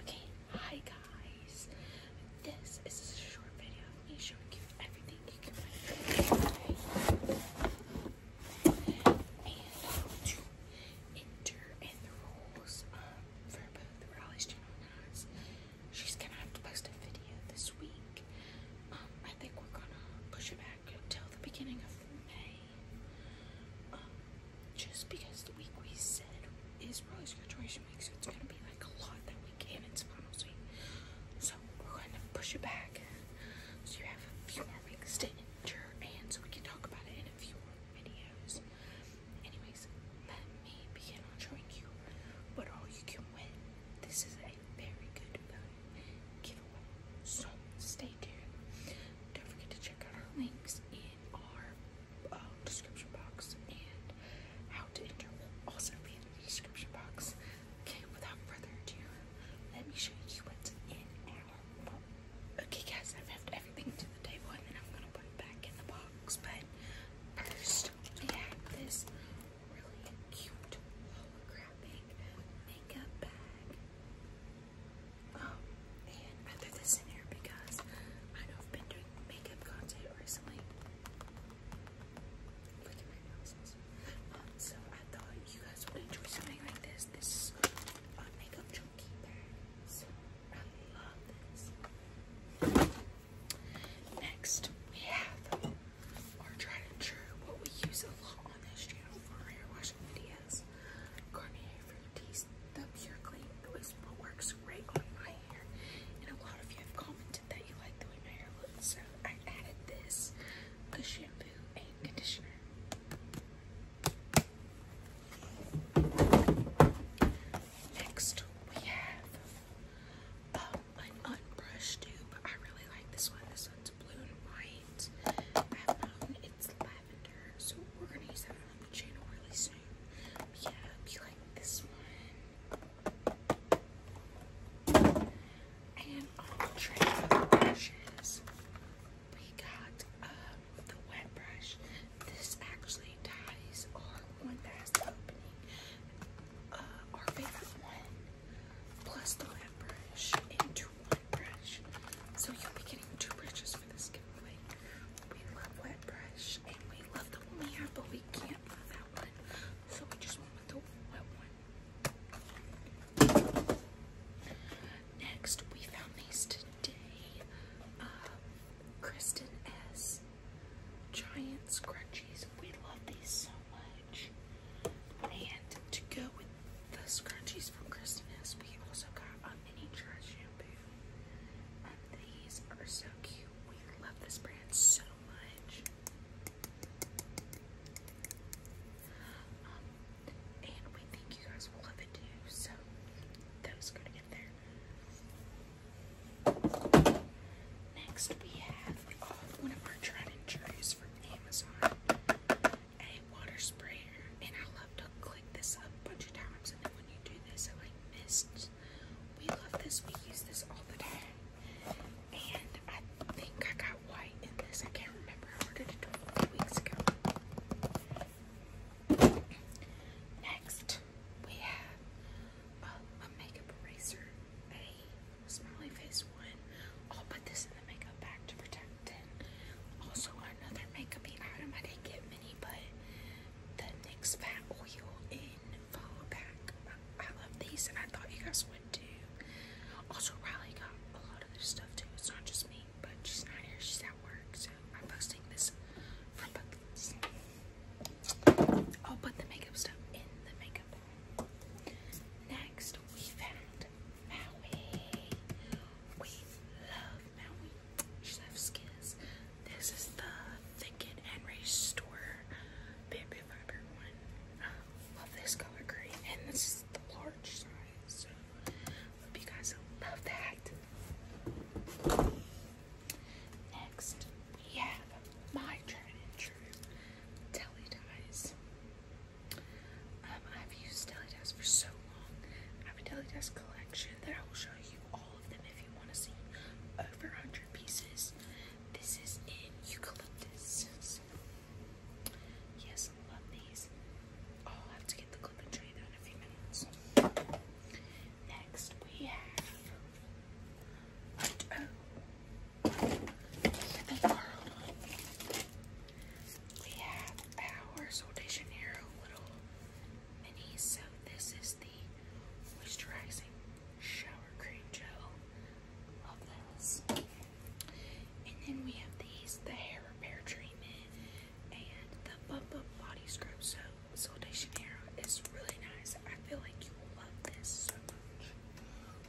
Okay, hi guys. This is a short video of me showing you everything you can and to enter in the rules um, for both Raleigh's channel and She's gonna have to post a video this week. Um, I think we're gonna push it back until the beginning of May. Um, just because the week we said is Riley's graduation week, so it's gonna be like a lot that we and it's final week. So we're going to push it back so you have a few more weeks to enter and so we can talk about it in a few more videos. Anyways, let me begin on showing you what all you can win. This is a very good value giveaway. So stay tuned. Don't forget to check out our links in our uh, description box and how to enter will also be in the description box. Okay, without further ado, let me show you what's in our box. Okay guys, I've moved everything to the table and then I'm gonna put it back in the box. But first we have this really cute holographic makeup bag. Um, oh, and I threw this in here because I know I've been doing makeup content recently. Look at my nails. Um, so I thought you guys would enjoy something like this. This is a makeup chunky bag. So I love this. Next, we have our tried and true, what we use a lot on this channel for hair washing videos, Garnier Fructis the Pure Clay Whisper works great on my hair. And a lot of you have commented that you like the way my hair looks, so I added this the shampoo and conditioner. Next, we have um, an unbrushed dupe. I really like this one. This one's blue and white. it's lavender, so we're gonna use that on the channel really soon. yeah, I like this one. And on the brushes, we got uh, the wet brush. This actually ties our one that opening, uh, our favorite one, plus the wet brush into one brush. So you'll getting two brushes. We love wet brush and we love the one we have, but we can't find that one. So we just went with the wet one. Next, we found these today. Uh, Kristen S. Giant scrunchies. We love these so much. And to go with the scrunchies from Kristen S, we also got a mini dry shampoo. Um, these are so cute. We love this brand so much. Um, and we think you guys will love it too. So those go to get there. Next we have oh, one of our tried and trues from Amazon a water sprayer, and I love to click this up a bunch of times. And then when you do this, it like mists. We love this. We use this all the time. And I think I got white in this. I can't remember. how I did it a few weeks ago. Next, we have um, a makeup eraser, a smiley face one. I'll put this in the makeup bag to protect also another makeup item I didn't get many, but the NYX Fat Oil in Follow Back. I love these and I thought you guys would too. Also, Riley got a lot of this stuff too. It's not just me, but she's not here. She's at work, so I'm posting this for both I'll put the makeup stuff in the makeup Next, we found Maui. We love Maui. Chef's Kiss. This is the Thicken and Restore Bamboo Fiber one. love this color green. And this is the large size. So, hope you guys love that. Next, we have my tried and true telly ties. Um, I've used Delidesk for so long. I have a Delidesk collection that I will show you all of them if you want to see. Over 100 pieces. This is in eucalyptus. yes, I love these. Oh, i have to get the clip and show in a few minutes. Next, we have. Oh, we have our Soldition Hero little mini. So this is the moisturizing shower cream gel. Love this. And then we have these, the hair repair treatment and the bump body scrub. So Soldition Hero is really nice. I feel like you will love this so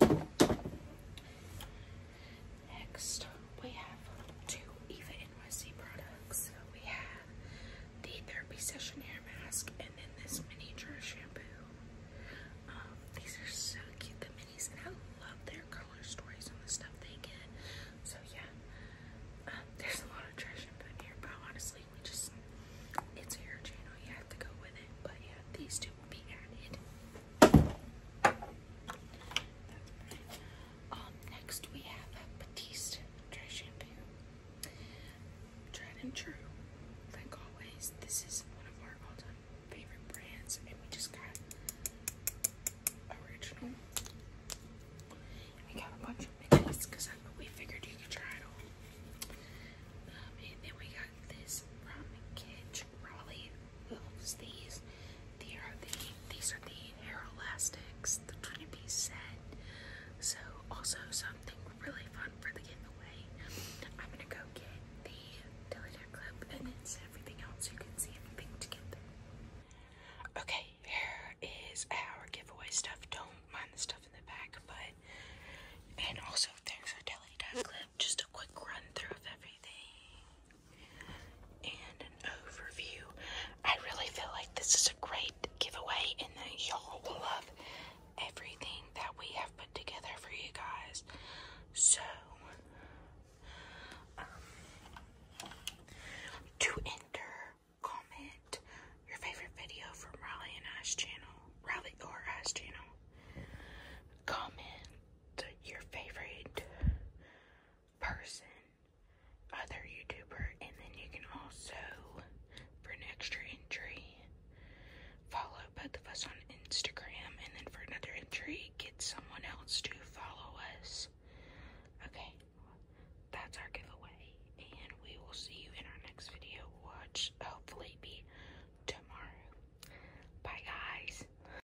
much. Next, we have two Eva NYC products. So we have the Therapy Session Hair Mask and then this miniature shampoo. Um, these are so cute, the minis, and I love their color stories on the stuff they get. So yeah, um, there's a lot of treasure in here, but honestly, we just, it's a hair channel, you have to go with it. But yeah, these two will be added. Um, next we have Batiste dry shampoo. Tried and true. Like always, this is one of our all-time favorite brands, and we just got original. I got a bunch of minis because we figured you could try it all. Um, and then we got this from Kitch Raleigh these. These are the these are the hair elastics, the 20-piece set. So also something really fun for the giveaway. I'm gonna go get the Dillinger clip and then everything else you can see everything to get there. Okay, here is our giveaway stuff. Don't mind the stuff in the back, but and also there's our Dillinger clip. Just a quick run through of everything and an overview. I really feel like this is a great giveaway and that y'all will love everything that we have put together for you guys. So, um, to enter, comment your favorite video from Riley and I's channel, Riley or I's channel. Comment your favorite person, other YouTuber, and then you can also, for an extra entry, follow both of us on Instagram, and then for another entry, get someone else to follow us. Okay, that's our giveaway, and we will see you in our next video, which hopefully be tomorrow. Bye, guys.